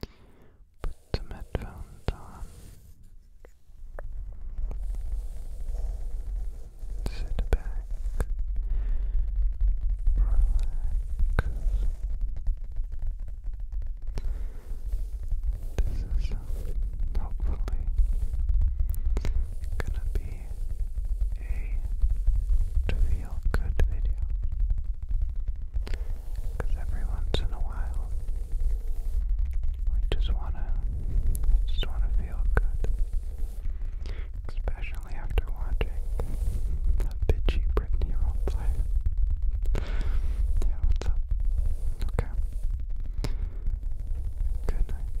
Put the headphones on. Sit back. Relax. This is um, hopefully gonna be a feel good video. every once in a while, we just wanna, we just wanna feel good. Especially after watching a bitchy Britney role yeah, what's up? Okay. Good night.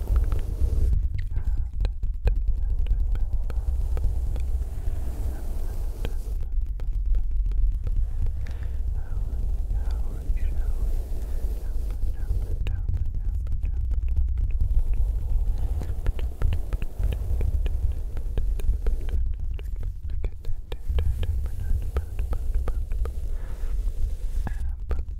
Apple,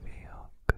Feel good.